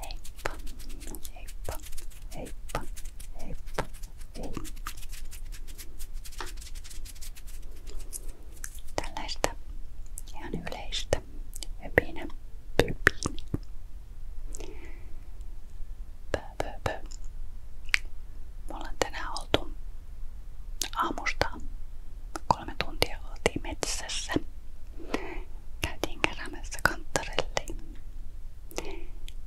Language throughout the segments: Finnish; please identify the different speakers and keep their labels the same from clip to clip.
Speaker 1: Heippa, heippa, heippa, heippa, hei. Tällaista ihan yleistä höpinä, pöpinä. Pö, pö, pö. Me ollaan tänään oltu aamusta kolme tuntia oltiin metsässä Käytiin keräämässä kantarelliin.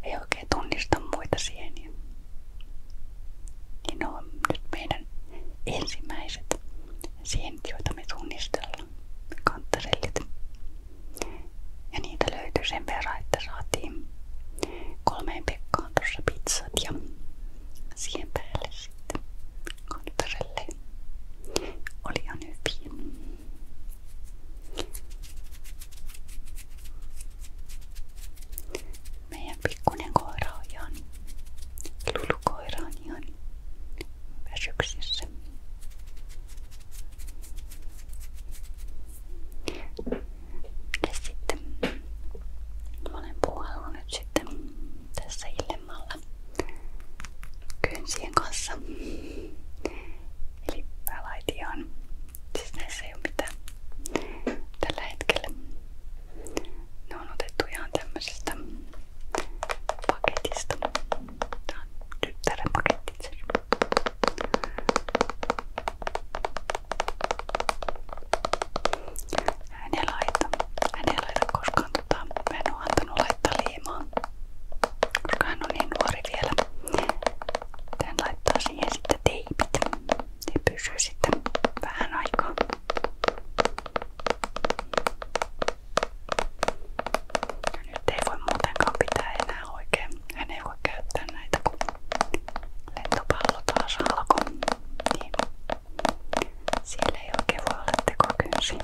Speaker 1: Ei oikein tunnista muita sieniä. Niin ne on nyt meidän ensimmäiset sienet, joita me tunnistellaan. Kantarellit. Ja niitä löytyy sen verran, että saatiin kolmeen pekkaan tuossa pizzat ja siihen päälle sitten Kantarelle oli ihan hyviä. Meidän pikkunen koira on ihan, lulukoira on väsyksissä. Ja sitten mä olen tässä illalla vasemmalla kynsien kanssa. Eli päälaitiaan. Siis näissä ei ole mitään tällä hetkellä. Ne on otettu ihan tämmöisestä paketista. Tää on tyttären paketti itse laita. Hän laita koskaan mutta mä en oo antanut laittaa liimaa, koska hän on niin nuori vielä. Tän laittaa siihen sitten teipit. Ne pysyy sitten vähän aikaa. Ja nyt ei voi muutenkaan pitää enää oikein. Hän ei voi käyttää näitä, kun lentopallo taas alkoi. Niin. Siellä ei oikein voi olla tekokynsiä.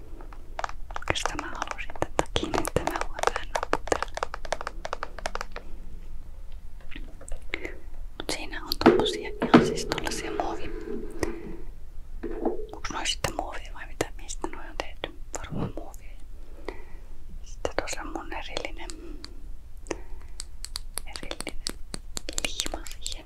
Speaker 1: Oikeastaan mä halusin tätä kiinnittämään huomioon Mut siinä on tommosia ihan siis tollasia muovi. Onks noi sitten muovia vai mitä? Mistä noi on tehty? Varmaan muovia. Sitten tuossa on mun erillinen, erillinen liima siihen.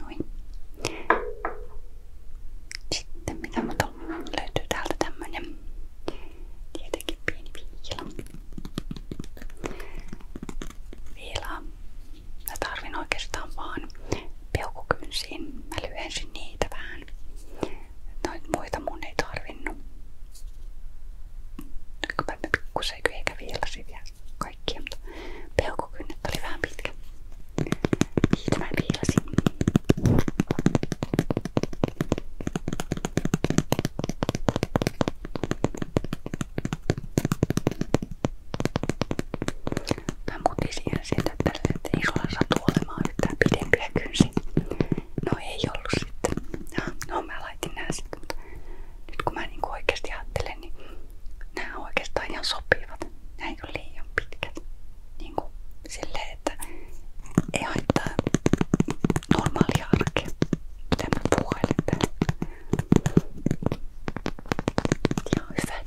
Speaker 1: Noin. Sitten mitä muuta löytyy täältä tämmönen tietenkin pieni viila. Viilaa. Mä tarvin oikeastaan vaan peukukynsiin. Mä niitä vähän. Noit muita mun ei tarvinnut. Nyt kun mä pikkusen eikä viilasin vielä kaikkia, mutta peukukynnet oli vähän pitkä. Siitä mä piilasin. Mä muutin siihen sieltä, että, että ei sulla satu olemaan yhtään pidempiä kynsiä. No ei ollut sitten. No, no mä laitin nää sitten, mutta nyt kun mä niinku oikeasti ajattelen, niin nämä oikeastaan ihan sopivat. Nämä ei ole liian pitkät. Niinku silleen, että ei haittaa normaalia arkea. Mitä mä puhailen täällä. Ihan hyvät.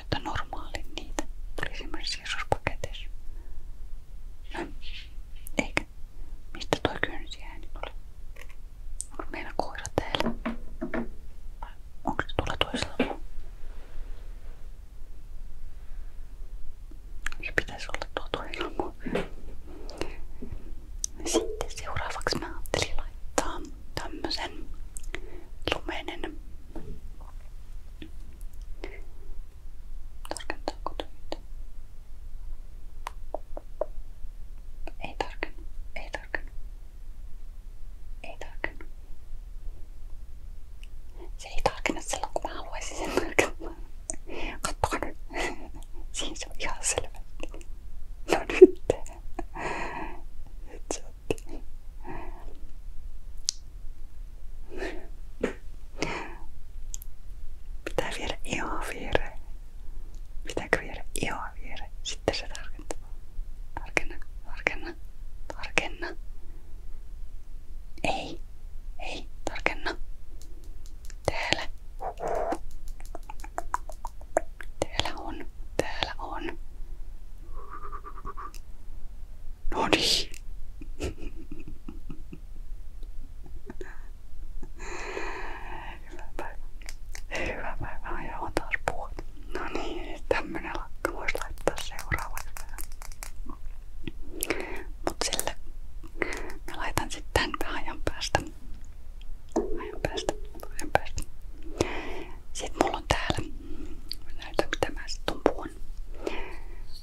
Speaker 1: sanoi, että normaali niitä tuli esimerkiksi sisuspaketeissa. No, eikä. Mistä toi kynsiääni tuli? Onko meillä koira täällä? onko se tuolla toisella? Se pitäisi olla tuo toinen Sitten seuraavaksi mä ajattelin laittaa tämmösen lumeinen Tarkentaako töitä? Ei tarkennu, ei tarkennu, ei tarkennu. Se ei tarkenna silloin kun mä haluaisin sen tarkennaa. Kattokaa nyt. Siis on ihan selvä. No nyt. Nyt se Pitää viedä ihoa viereen. Pitääkö viedä ihoa viereen? Sitten se tarkentaa. Tarkenna, tarkenna, tarkenna. Ei, ei, tarkenna. Täällä. Täällä on, täällä on. No niin. Hyvää päivää. Hyvää päivää. Ja on taas puhut. No niin, tämmönen lakka voisi laittaa seuraavaksi. Mut sille mä laitan sitten tän vähän ajan päästä. Ajan päästä. Ajan päästä. Sitten mulla on täällä, näytän mitä mä sitten puhun.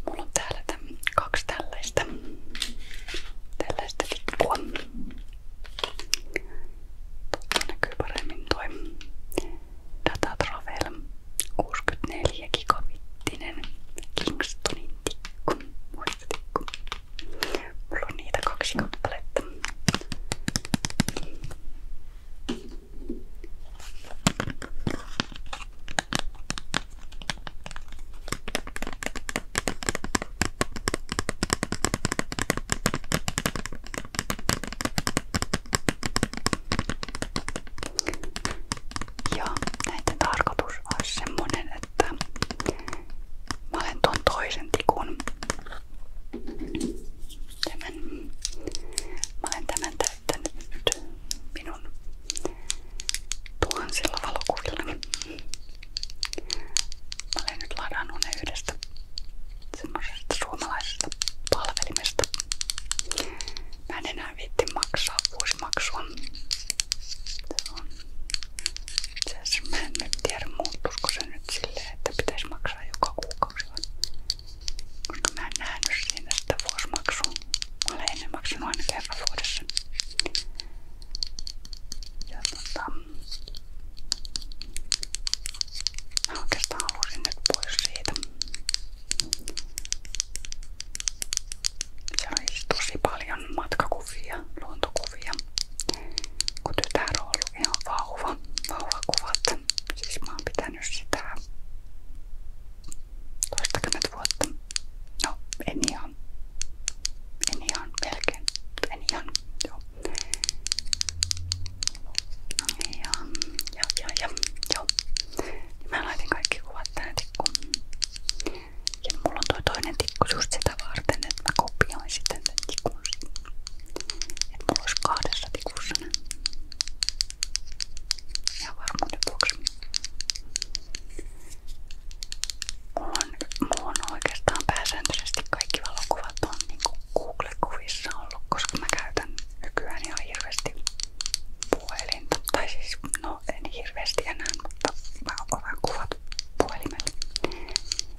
Speaker 1: Mulla on täällä tämän, kaksi tällaista, tällaista tikkua. Tuossa näkyy paremmin toi Datatravel 64 gigabittinen Kingstonin tikku, muistotikku. Mulla on niitä kaksi kappaletta. Ja näiden tarkoitus olisi semmonen, että mä olen ton toisen tikun Tämän, mä olen tämän täyttänyt nyt minun tuhansilla valokuvillani. Mä olen nyt ladannut ne yhdestä semmoisesta suomalaisesta palvelimesta. Mä en enää viitti maksaa vuosimaksua. Se on itse asiassa mä en nyt tiedä muuttuisiko se nyt silleen, että pitäisi maksaa joka kuukausi vai koska mä en nähnyt siinä sitä olen ennen maksanut aina kerran vuodessa. Ja tota... Mä oikeastaan halusin nyt pois siis paljon matkakuvia, luontokuvia. Kun tytär on ollut ihan vauva, Siis mä oon pitänyt vetänyt sitä toistakymmentä vuotta. No, en ihan. En ihan, melkein. En ihan, joo. Ja, ja, joo. Niin mä laitin kaikki kuvat tähän tikkuun. Ja mulla on toi toinen tikku just sitä varten, että mulla olisi kahdessa tikussa ne. Ihan varmuuden vuoksi. Mulla on oikeastaan pääsääntöisesti kaikki valokuvat on niinku Google-kuvissa ollut, koska mä käytän nykyään ihan hirveästi puhelinta. Tai siis, no en hirveästi enää, mutta mä otan kuvat puhelimella.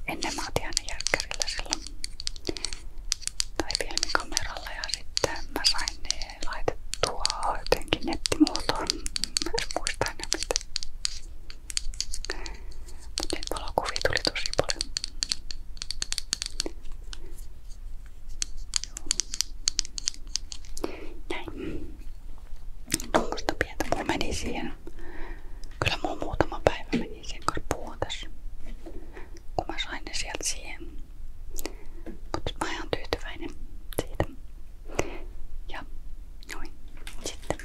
Speaker 1: Ennen mä otin aina järkkärillä silloin tai filmikameralla ja sitten mä sain laitettua jotenkin nettimuotoon. Mä en muista enää mistä. Mut niitä valokuvia tuli tosi paljon. Näin. Tuommoista pientä mun meni siihen. Kyllä muutama päivä meni niin sen kanssa puhua tässä, kun mä sain ne sieltä siihen. Mutta mä oon tyytyväinen siitä. Ja noin. Sitten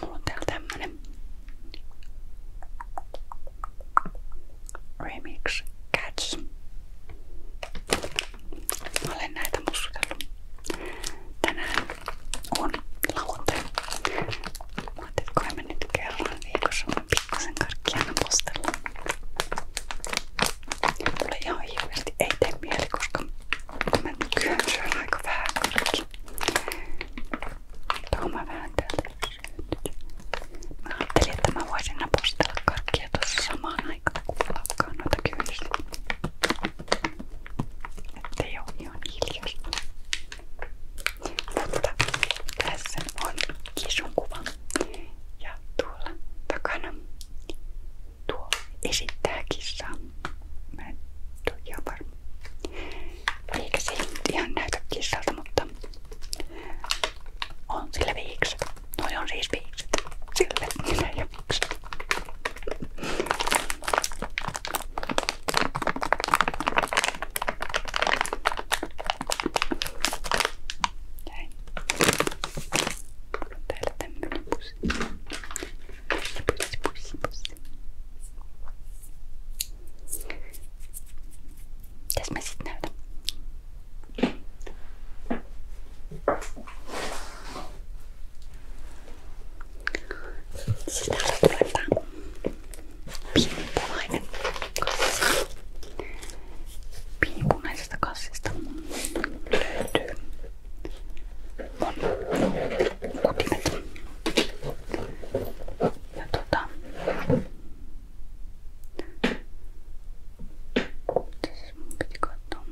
Speaker 1: mulla on täällä tämmönen Remix Cats. Mä olen näitä muskatellut. Tänään on lauantai. Mä että kai me nyt kerran viikossa mä pikkasen karkkia aina postellaan. Mulle ihan hirveästi ei tee mieli, koska mä nykyään syön aika vähän karkki. Tuohon mä vähän täältä Mä ajattelin, että mä voisin napostella karkkia tuossa samaan aikaan, kun lakkaa noita kyydistä. Ettei oo ihan hiljasta. Mutta tässä on kisun kuva. Ja tuolla takana tuo esittää kissaa. Mä en ole ihan varma. Eikä se ihan näytä kissalta, mutta on sillä viikset. Noi on siis viikset. Sillä ei ole viikset. Näin. Täällä tämmönen pussi. Pussi, pussi, pussi, pussi. Mitäs mä sit näytän? Siis täällä tulee tää pieni punainen kassi. Pienipunaisesta kassista löytyy mun kutimet. Ja tota, siis mun piti katsoa.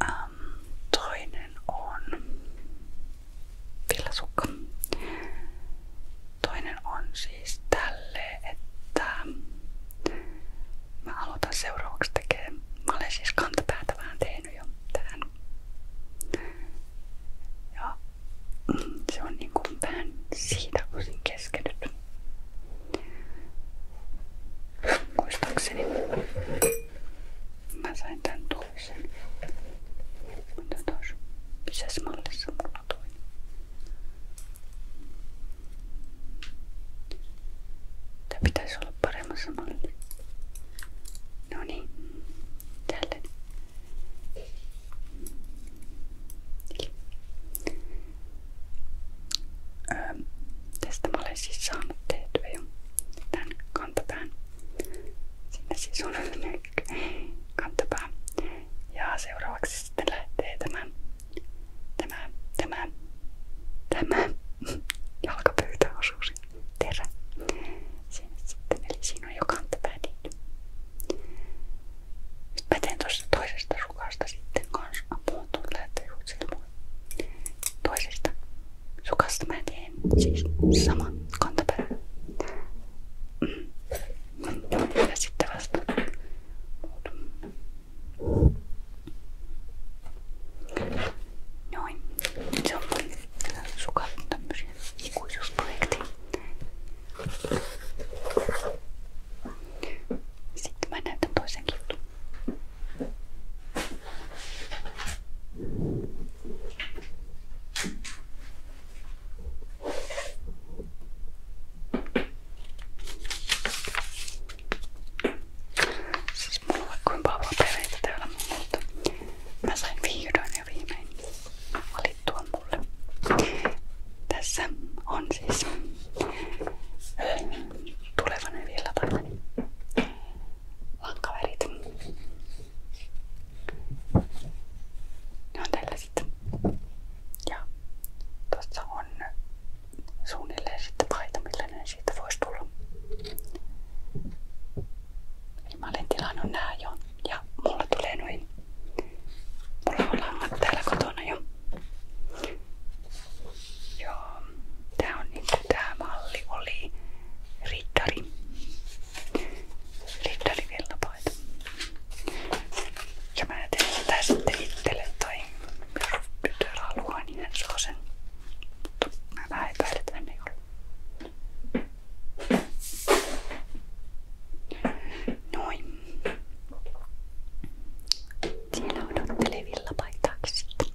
Speaker 1: Aa, Toinen on villasukka. Toinen on siis tälle, että mä aloitan seuraavaksi tekemään. Mä olen siis kantapäätä vähän tehnyt jo tähän. Ja se on niinku vähän siitä osin keskeytynyt. Muistaakseni mä sain tän toisen. Mutta tos pisessä mallissa mulla toinen. Tää pitäisi olla No niin, tälle. Öö, tästä mä olen siis saanut tehtyä jo tämän kantapään. Sinne siis on kantapää. Ja seuraavaksi sitten lähtee tämä, tämä, tämä, tämä jalkapöytäosuus terä. Sinne sitten, eli siinä on jo kantapää tehty. Nyt mä teen tuosta toisesta rukasta sitten kans. Apua, tuon lähtee ruotsille Toisesta sukastumäteen, siis sama kantapää. Mm. Ja sitten vasta Noin. Se on sukat tämmöisiä ikuisuusprojekteja. Sitten mä näytän toisen jutun. Siis mulla on kuinka vahvaa perheitä täällä, mutta mä sain vihdoin ja viimein valittua mulle. Tässä on siis tulevan vielä päivänä Oot kaverit. Ne on tällaiset. Ja tossa on suunnilleen sitten paita, millainen siitä voisi tulla. Eli mä olen tilannut nää jo. Ja mulla tulee noin. Mulla on langat täällä kotona jo. Joo, tää on niinku tää malli oli riittari. Riittari villapaita. Ja mä teen sitä sitten itselle tai jos tytär haluaa, niin hän saa sen. Mutta mä vähän epäilen, että hän ei ole. Noin. Siinä odottelee villapaitaaksi sitten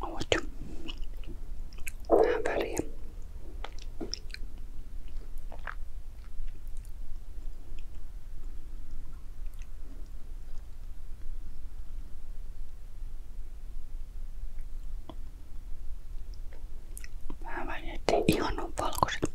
Speaker 1: Oot. Vähän väliä. Vähän väliä, ettei ihan ole valkoiset.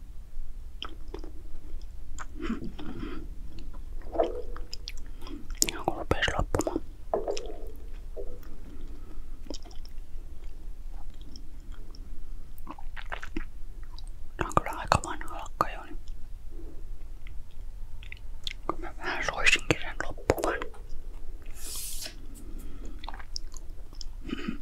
Speaker 1: Ja kun rupes loppumaan. Tää on kyllä aika vanha lakka jo. Niin. Kun mä vähän soisinkin sen loppuvan. Mm.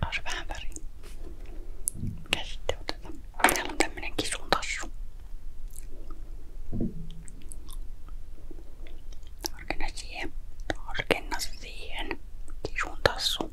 Speaker 1: Saa se vähän väriä. Mikä sitten otetaan? Täällä on tämmönen kisun tassu. Tarkenna siihen. Tarkenna siihen. Kisun tassu.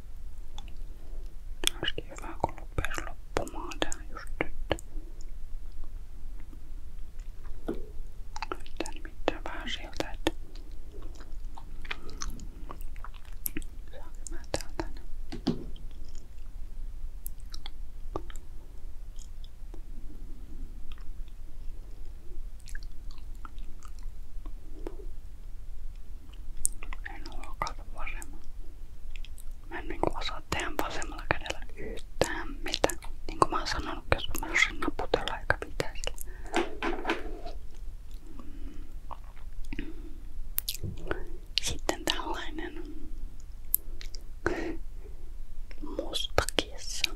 Speaker 1: Olisikin hyvä, kun lupes loppumaan tää just nyt. Tää nimittäin vähän siltä, että saanko mä täältä ne. En huokauta vasemmalla. Mä en niinku osaa tehdä vasemmalla kädellä yhtään mitään. Niin kuin mä oon sanonut, jos mä osasin naputella eikä mitään sillä. Sitten tällainen musta kiessa.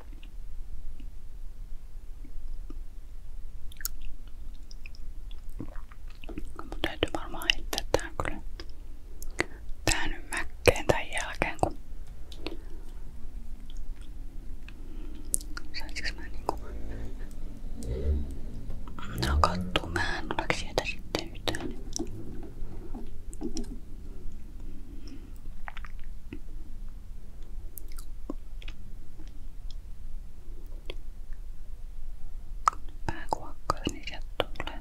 Speaker 1: Mun täytyy varmaan heittää tää kyllä tää nyt mäkkeen tän jälkeen kun saisinko mä niinku no kattuu mä en ole sieltä sitten yhtään Vähän kuokkaa, niin sieltä tulee.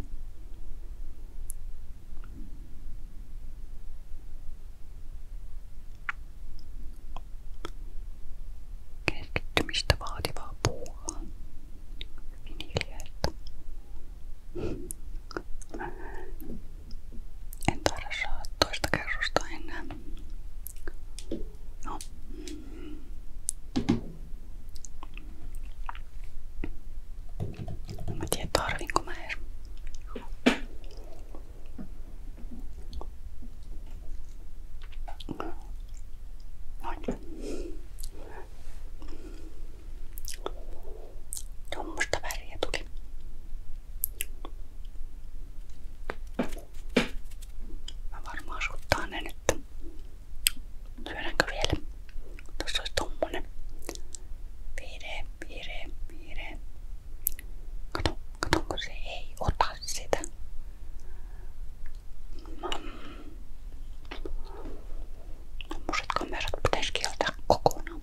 Speaker 1: Keskittymistä vaativaa puuhaa. Hyvin niin hiljaista. En taida saa toista kerrosta enää. No. En mä tiedä tarvinko mä edes. Noin. Tuommoista väriä tuli. Mä varmaan suttaa ne nyt. Syödäänkö vielä? Tuossa olisi tommonen. Vihreä, vihreä, vihreä. Kato, kato kun se ei ota sitä. Tommoset kamerat pitäis kieltää kokonaan.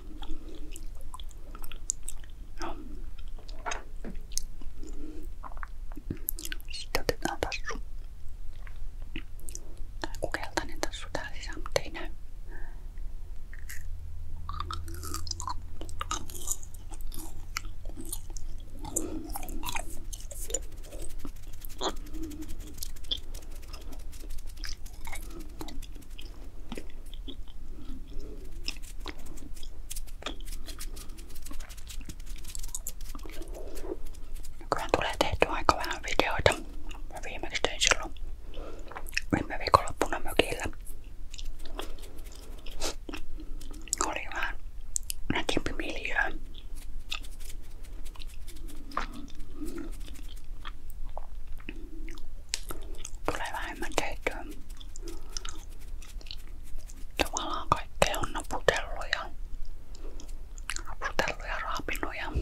Speaker 1: Ja. Sitten otetaan tassu. Tai joku keltainen tassu täällä sisään, mutta ei näy. Nykyään tulee tehty aika vähän videoita. Mä viimeksi tein silloin viime viikonloppuna mökillä. Oli vähän nätimpi miljöö. Tulee vähemmän tehtyä. Tavallaan kaikkea on naputellut ja naputellut ja raapinut ja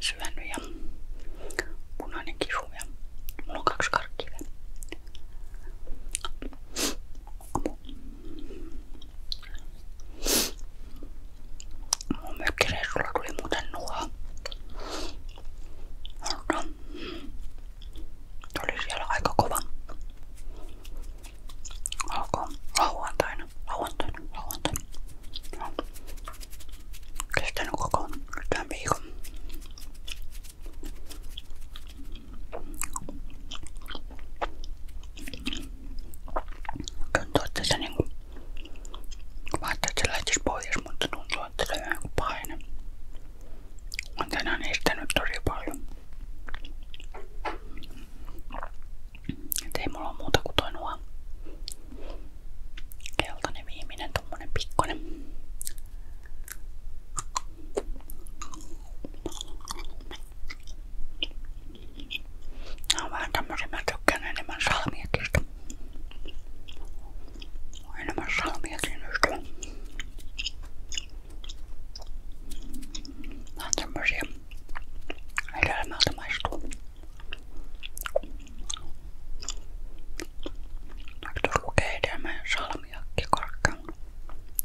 Speaker 1: syönyt ja punainen kisu ja mulla on kaksi karkkiä. Mun mökkireissulla tuli muuten nuo. Mutta oli siellä aika kova. Alkoi lauantaina, lauantaina, lauantaina. No. Kestänyt koko tämän viikon. Tuntuu, että se niinku... Mä ajattelin, että se lähtisi pois, mutta tuntuu, että se on joku paine. Mä tänään estänyt tosi paljon. Et ei mulla ole muuta kuin toi nuo keltainen viimeinen tommonen pikkonen. Nämä on vähän tämmöisiä, mä tykkään enemmän salmiakista. Enemmän salmiakin ystävä. Nämä on tämmöisiä. Hedelmältä maistuu. Vaikka tuossa lukee hedelmä ja salmiakki korkean.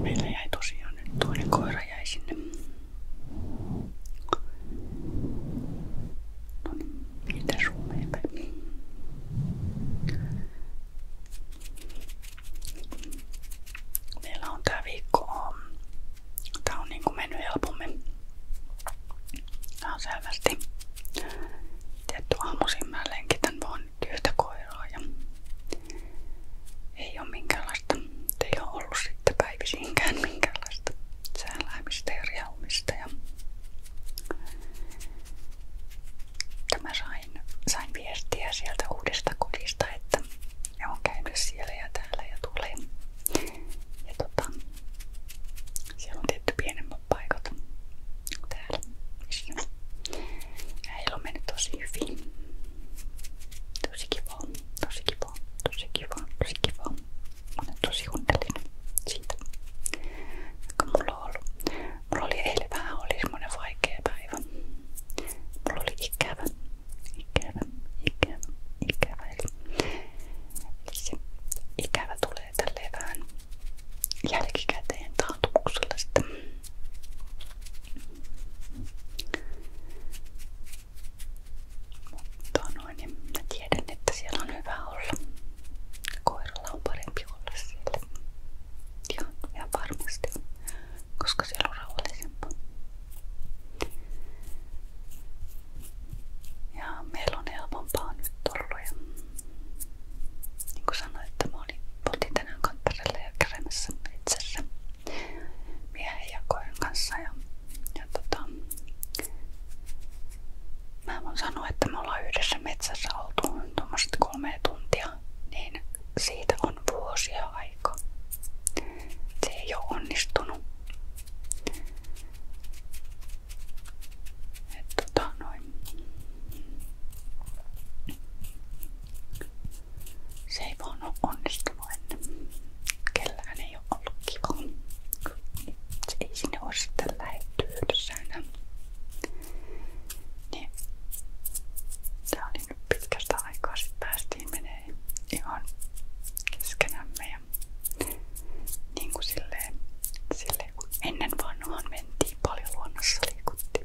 Speaker 1: Meillä jäi tosiaan nyt toinen koira no niin, mitä Suomeen päin? Meillä on tää viikko. Um, tää on niinku mennyt helpommin. Tää on selvästi. Tietty aamuisin mä lenkitän vaan työtä koiraa ja ei ole minkäänlaista, ei ole ollut sitten päivisiinkään minkäänlaista sääläämistä ja riaumista. Ja Tämä sain, sain viestiä sieltä uudesta kodista, että ne on käynyt siellä ja täällä ja tulee. Ja tota, siellä on tietty pienemmät paikat täällä. Missä. Ja heillä on mennyt tosi hyvin. Tosi kiva, tosi kiva, tosi kiva, tosi kiva. Mä olen tosi onnellinen siitä, joka mulla on ollut. Mulla oli eilen vähän oli semmonen vaikea päivä. Mulla oli ikävä, ikävä, ikävä, ikävä. Eli, eli se ikävä tulee tälleen vähän jälkikäteen taantumuksella sitten. Mutta noin, niin mä tiedän, että siellä on hyvä olla. Koiralla on parempi olla siellä. Ihan, ihan koska siellä on rauhallisempaa. Ja meillä on helpompaa nyt ollut. Ja niin kuin sanoin, että mä Oltiin tänään kantarelle ja kävelemässä metsässä miehen ja koiran kanssa. Ja, ja tota, mä voin sanoa, että me ollaan yhdessä metsässä oltu tuommoiset kolme tuntia, niin siitä on vuosia aika. Se ei ole onnistunut. Et tota, noin. Se ei vaan ole onnistunut ennen. Kellään ei ole ollut kiva. Se ei niin. pitkästä aikaa sit päästiin menee ihan keskenämme niin kuin silleen, silleen kun ennen vanhaan mentiin paljon luonnossa liikuttiin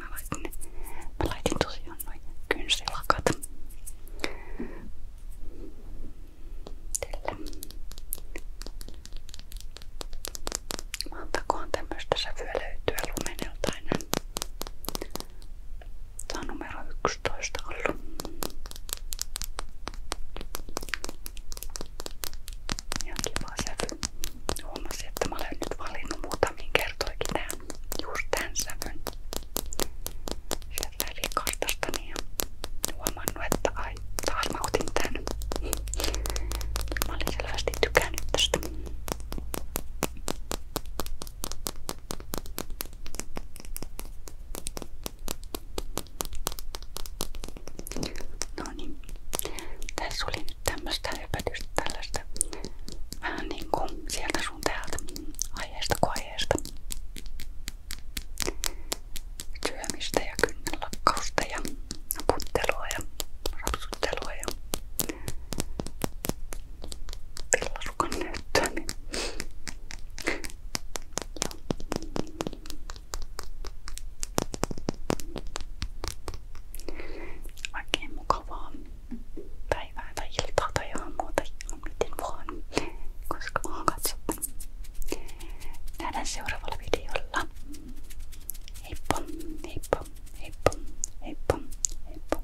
Speaker 1: mä laitin, mä laitin tosiaan noin kynsilakat tällä. Antakoon tämmöstä sävyä löytyä lumenelta aina. Tää on numero 11 ollut. Ihan kiva sävy. Huomasin, että mä olen nyt valinnut muutamiin kertoikin tämän, just tämän sävyn sieltä kartastani niin ja huomannut, että ai, taas mä otin tän. Mä No niin, tässä oli nyt tämmöstä höpötystä tällaista vähän niin sieltä sun täältä aiheesta kuin aiheesta. Syömistä ja kynnenlakkausta ja puttelua ja rapsuttelua ja villasukan näyttöä. Niin. Oikein mukavaa päivää tai iltaa tai aamua tai miten vaan, koska on katsottu. Nähdään seuraavalla videolla. Heippa, heippa, heippa, heippa, heippa.